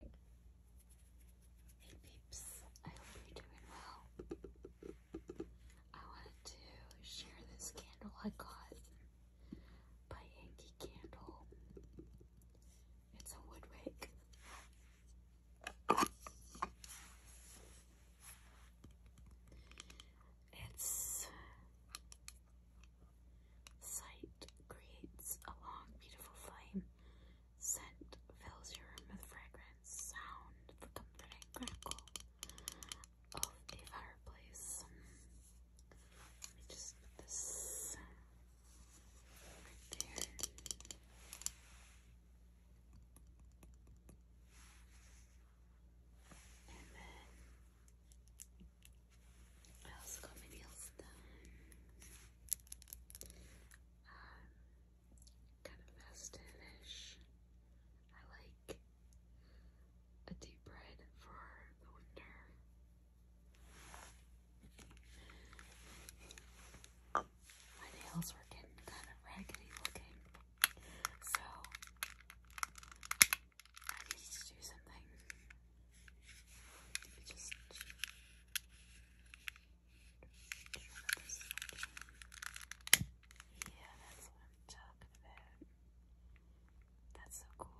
Hey peeps, I hope you're doing well. I wanted to share this candle I got by Yankee Candle. It's a wood wick. It's sight creates a long, beautiful flame Scent fills your room with fragrance, sound, for comforting crackle of a fireplace. Let me just put this right there. And then I also got my nails done kind of festive I like a deep red for the winter. My nails were getting kind of raggedy looking, so I needed to do something yeah, that's what I'm talking about. That's so cool.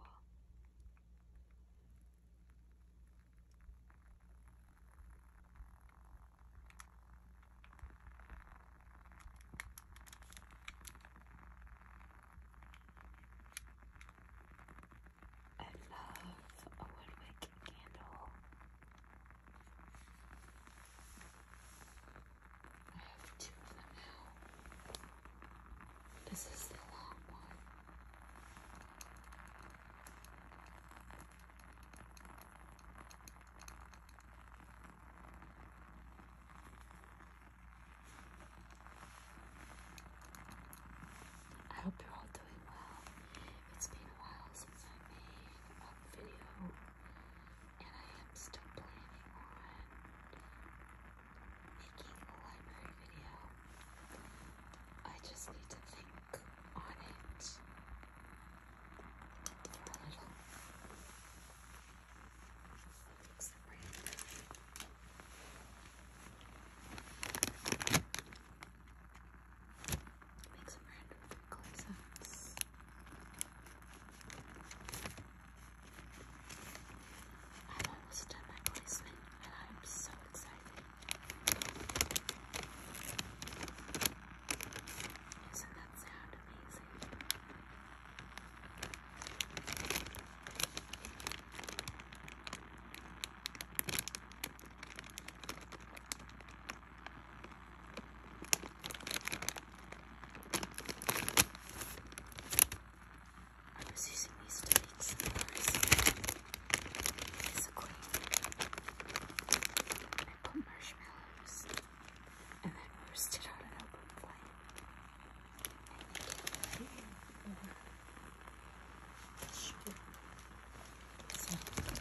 I love a woodwick candle. I have two of them now. This is the long one. I hope you're all doing well. It's been a while since I made a video, and I am still planning on making a library video. I just need to think on it a little. Fix Make some random color I've almost done my placement and I'm so excited. Isn't that sound amazing? I was using these to Basically, I put marshmallows and then roasted on an open flame demonstration. So you put this, put this on there.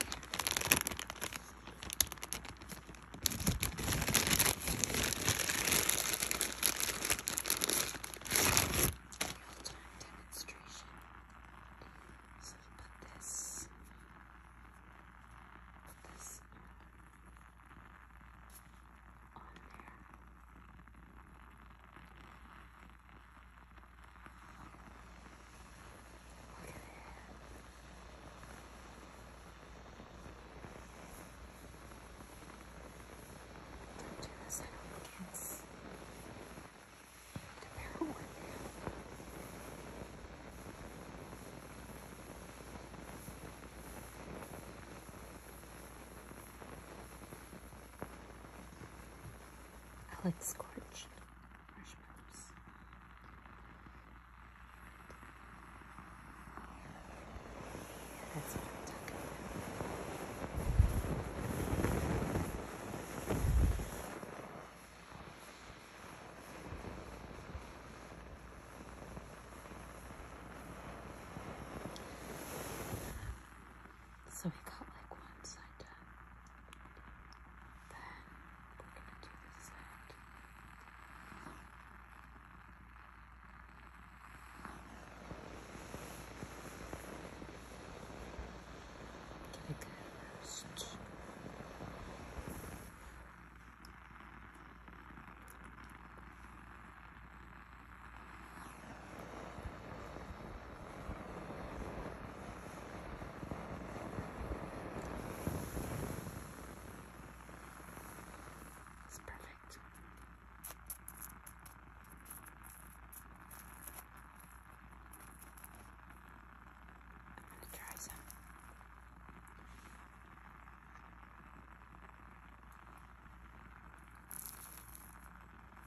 Don't do this, I don't think it's the barrel one. Now. I like scorched marshmallows. So we got like one side done. Then we're gonna do this side. Get it's perfect. I'm going to try some.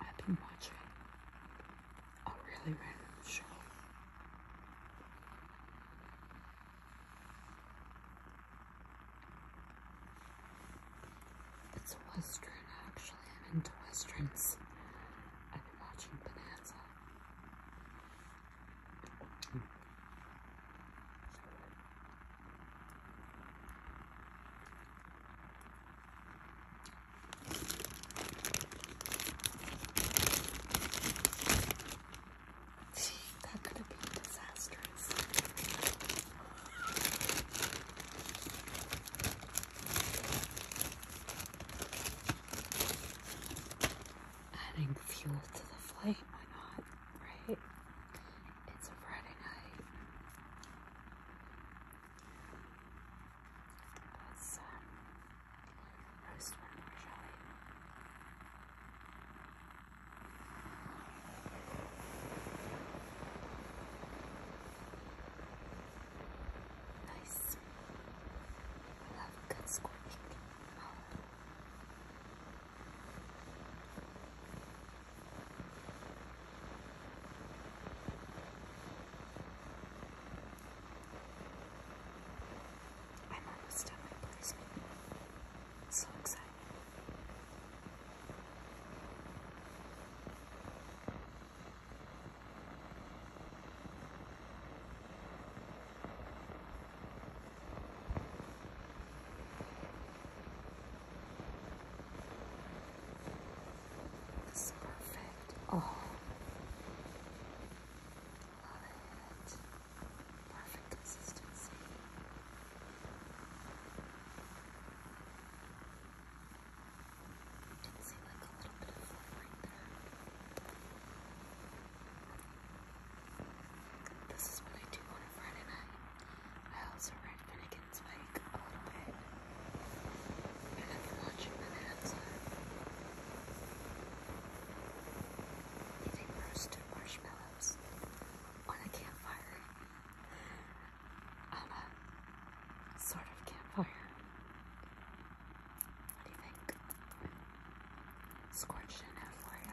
I've been watching a really random show. It's a western, actually. I'm into westerns. I've been watching Bonanza that could have been disastrous adding fuel to the flame. Why not? Right? It's a Friday night. Let's um, roast one more, shall we? Nice. I good scorching. I'm almost at my placement. So excited. This perfect. Oh, love it. Perfect consistency. Didn't see like a little bit of fluff right there. This is what I do on a Friday night. I also read Finnegan's Wake a little bit. I've been watching Bonanza. Eating roasted marshmallows on a campfire. sort of campfire. What do you think? Scorched in it for you.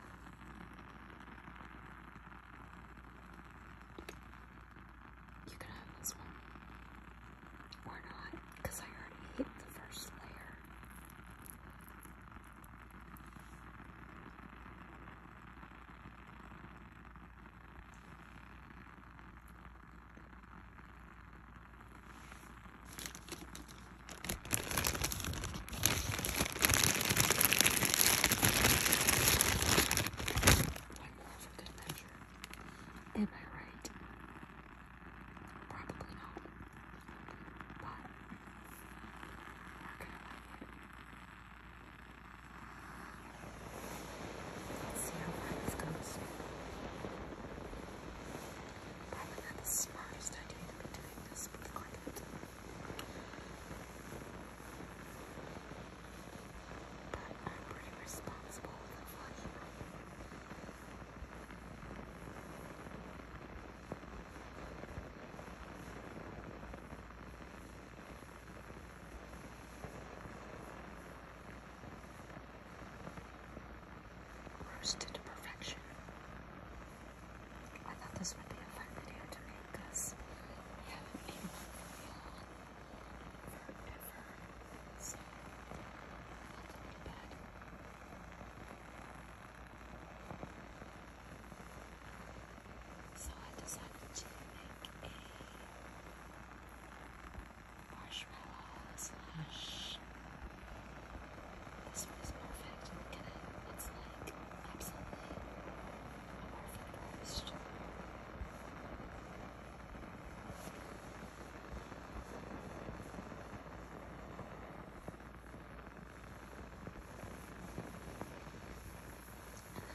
You can have this one. Or not, because I already hit the first layer. One more for good Am I right? Probably not. But we Let's see how this goes. Probably not the smartest idea to be doing this this with clip. But I'm pretty responsible for vlogging. Roasted to perfection. I thought this would be a fun video to make because I haven't made video in forever. So, not to bad. So I decided to make a marshmallow slash this one's perfect. It's like absolutely perfect And then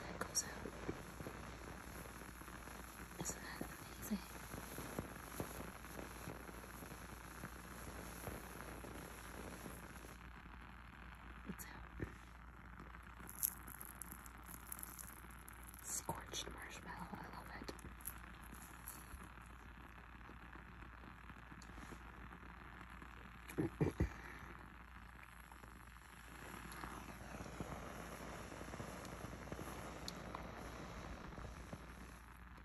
it goes out. Isn't that amazing? What's out? Scorched marshmallow, I love it.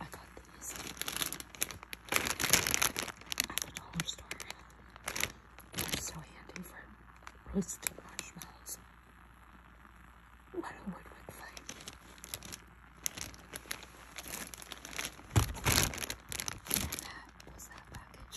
I got these at the dollar store. They're so handy for roasting marshmallows. What a woodwick find. And that was package.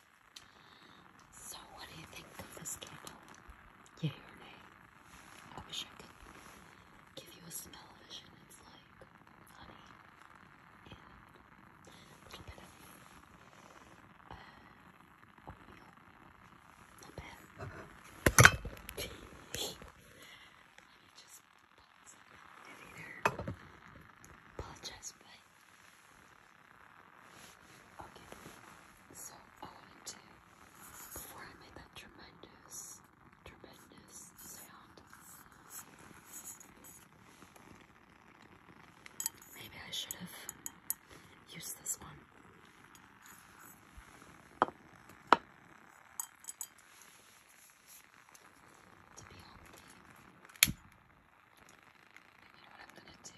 So, what do you think of this candle? Yay or nay? I wish I could give you a smell It's like honey a little bit of uh, oatmeal. Not bad. Uh Let me just put some out in there. Apologize, but Okay, so I wanted to, before I made that tremendous, tremendous sound, maybe I should have used this one. To be healthy you know what I'm gonna do?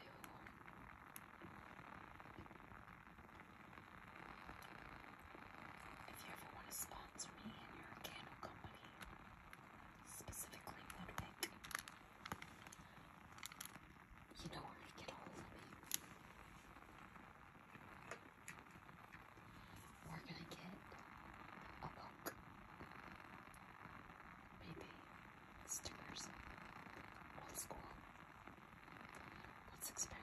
If you ever want to sponsor me and you candle company, specifically Ludwig, you know where to get a of me. We're going get a book. Maybe stickers. Old school. Let's experiment.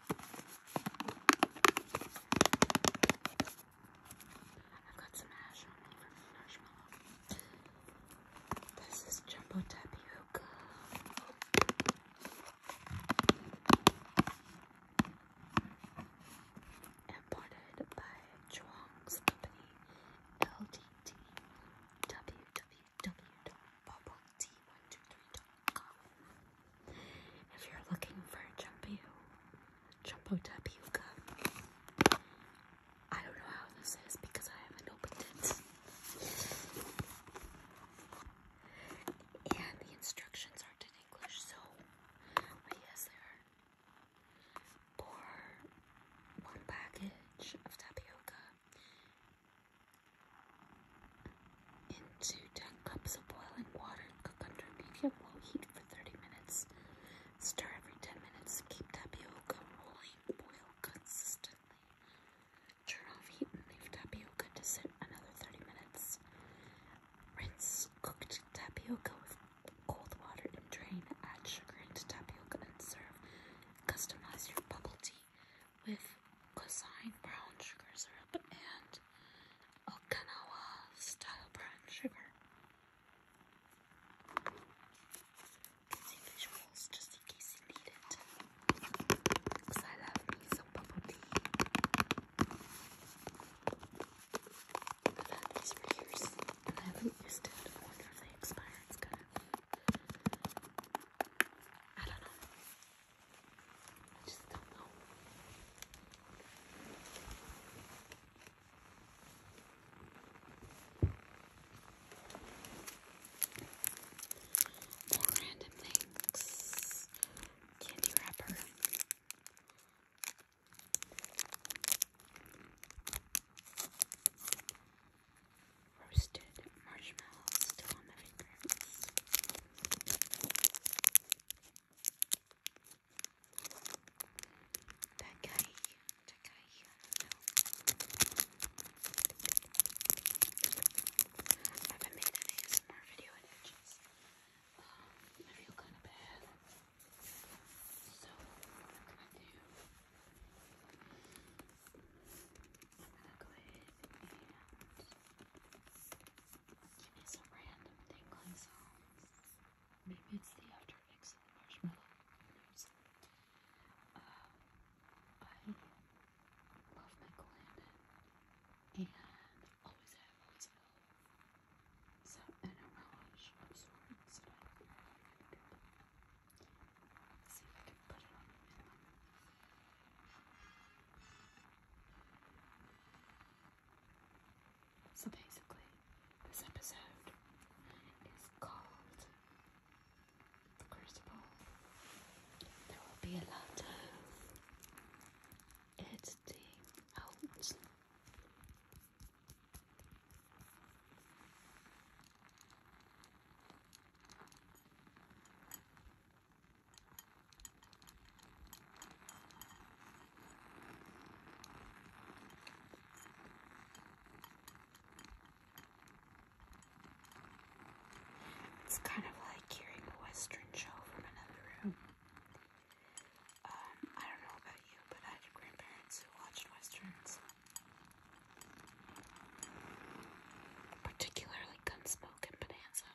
This is jumbo tapioca. Imported by Chuang's company, LDT, www.bubbletea123.com. If you're looking for tapioca, I don't know how this is because I haven't opened it. And the instructions are in English, so I guess they one package of tapioca into 10 cups of boiling water cook under medium-low heat for 30 minutes. Stir every 10 minutes. Keep tapioca rolling. Boil consistently. Turn off heat and leave tapioca to sit another 30 minutes. Rinse cooked tapioca with cold water and drain. Add sugar into tapioca and serve. Customize your bubble tea with cosine brown sugar syrup and Okinawa style brown sugar. See visuals just in case you need it. Because I love me some bubble tea. i these for I haven't used it. wonder if they expire. It's kind of. I don't know. Just don't know. More random things. Candy wrapper. Roasted marshmallows still on my fingers. Czekaj, czekaj. I haven't made an ASMR video in I feel kind of bad. So, I'm gonna go ahead and Give me some random tingling sounds. Maybe it's the after effects of marshmallow. I love Michael and always have, So, an homage of sorts that I think let see if I can put it on so basically, this episode is called The There will be a lot of editing it's kind of like hearing a Western show from another room. Um, I don't know about you, but I had grandparents who watched Westerns. Particularly Gunsmoke and Bonanza.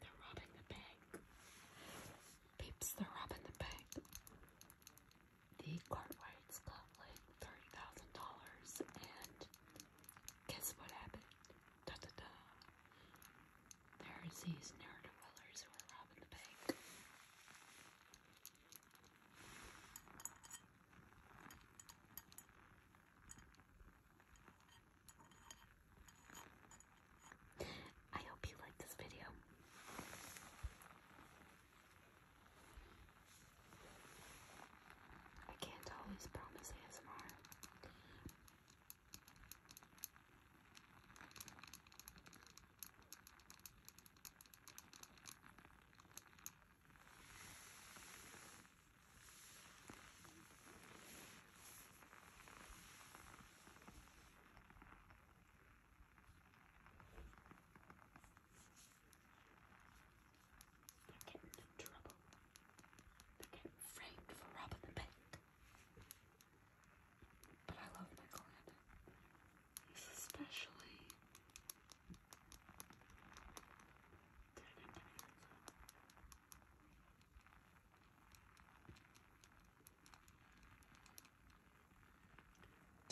They're robbing the bank. Peeps, they're robbing the bank. The Cartwrights got like $30,000 and guess what happened? Da da da. There's these neer do who are robbing the bank. I hope you like this video. I can't always promise ASMR. They're getting in trouble. They're getting framed for robbing the bank. But I love my client. especially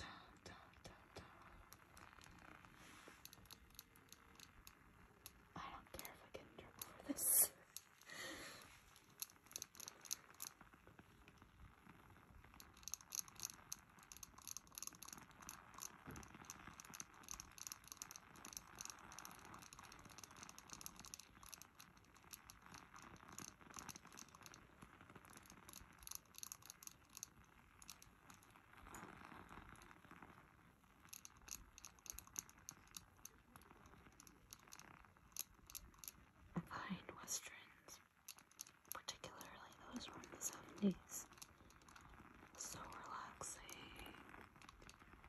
Da, da, da, da. I don't care if I get in trouble for this. I find westerns, particularly those from the 70s, so relaxing.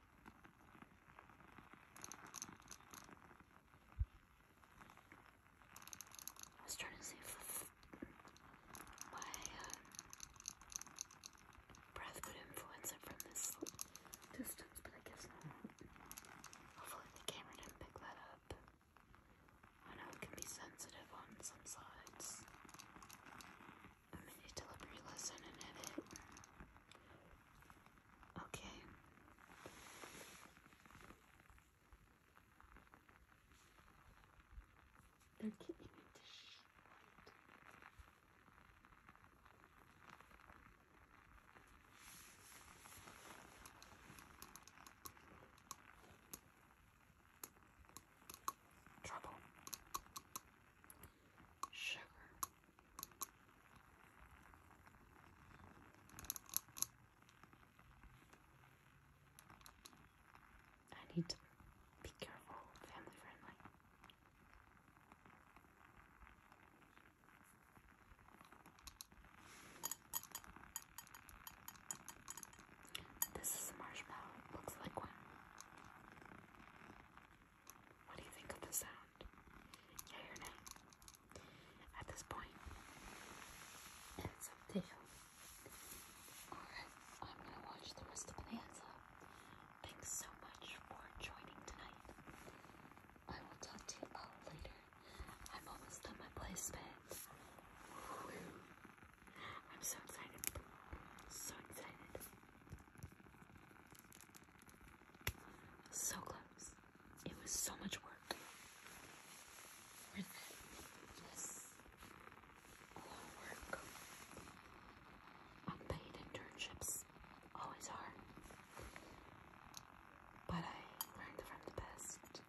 I was trying to see if my uh, breath would influence it from this distance, but I guess not. Hopefully the camera didn't pick that up. I know it can be sensitive on some sides mini delivery lesson and edit. Okay. They're getting into shit. Trouble sugar. I need to be careful, family friendly. This is a marshmallow. looks like one. What do you think of the sound? Yay or nay? At this point, it's up Alright, I'm gonna watch the rest of the answer. Thanks so much for joining tonight. I will talk to you all later. I'm almost done my placement. I'm so excited. So excited. So close. It was so much work. Worth A lot of work. Unpaid internships always are. But I learned from the best.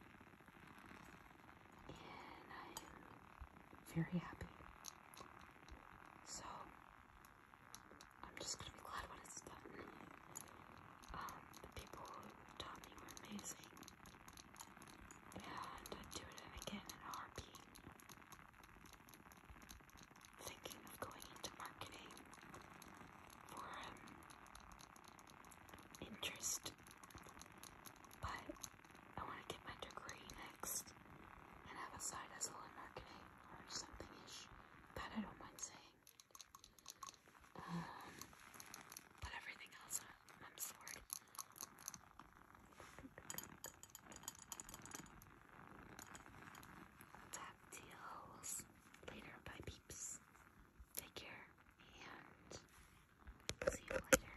And I'm very happy. So I'm just gonna be glad when it's done. Um, the people who taught me were amazing. And I'd do it again in a heartbeat. Thinking of going into marketing for um, interest, but I want to get my degree next and have a side hustle in marketing or something ish that I don't mind saying. Um, but everything else, I'm, sorry. Tap deals later by peeps. Take care and see you later.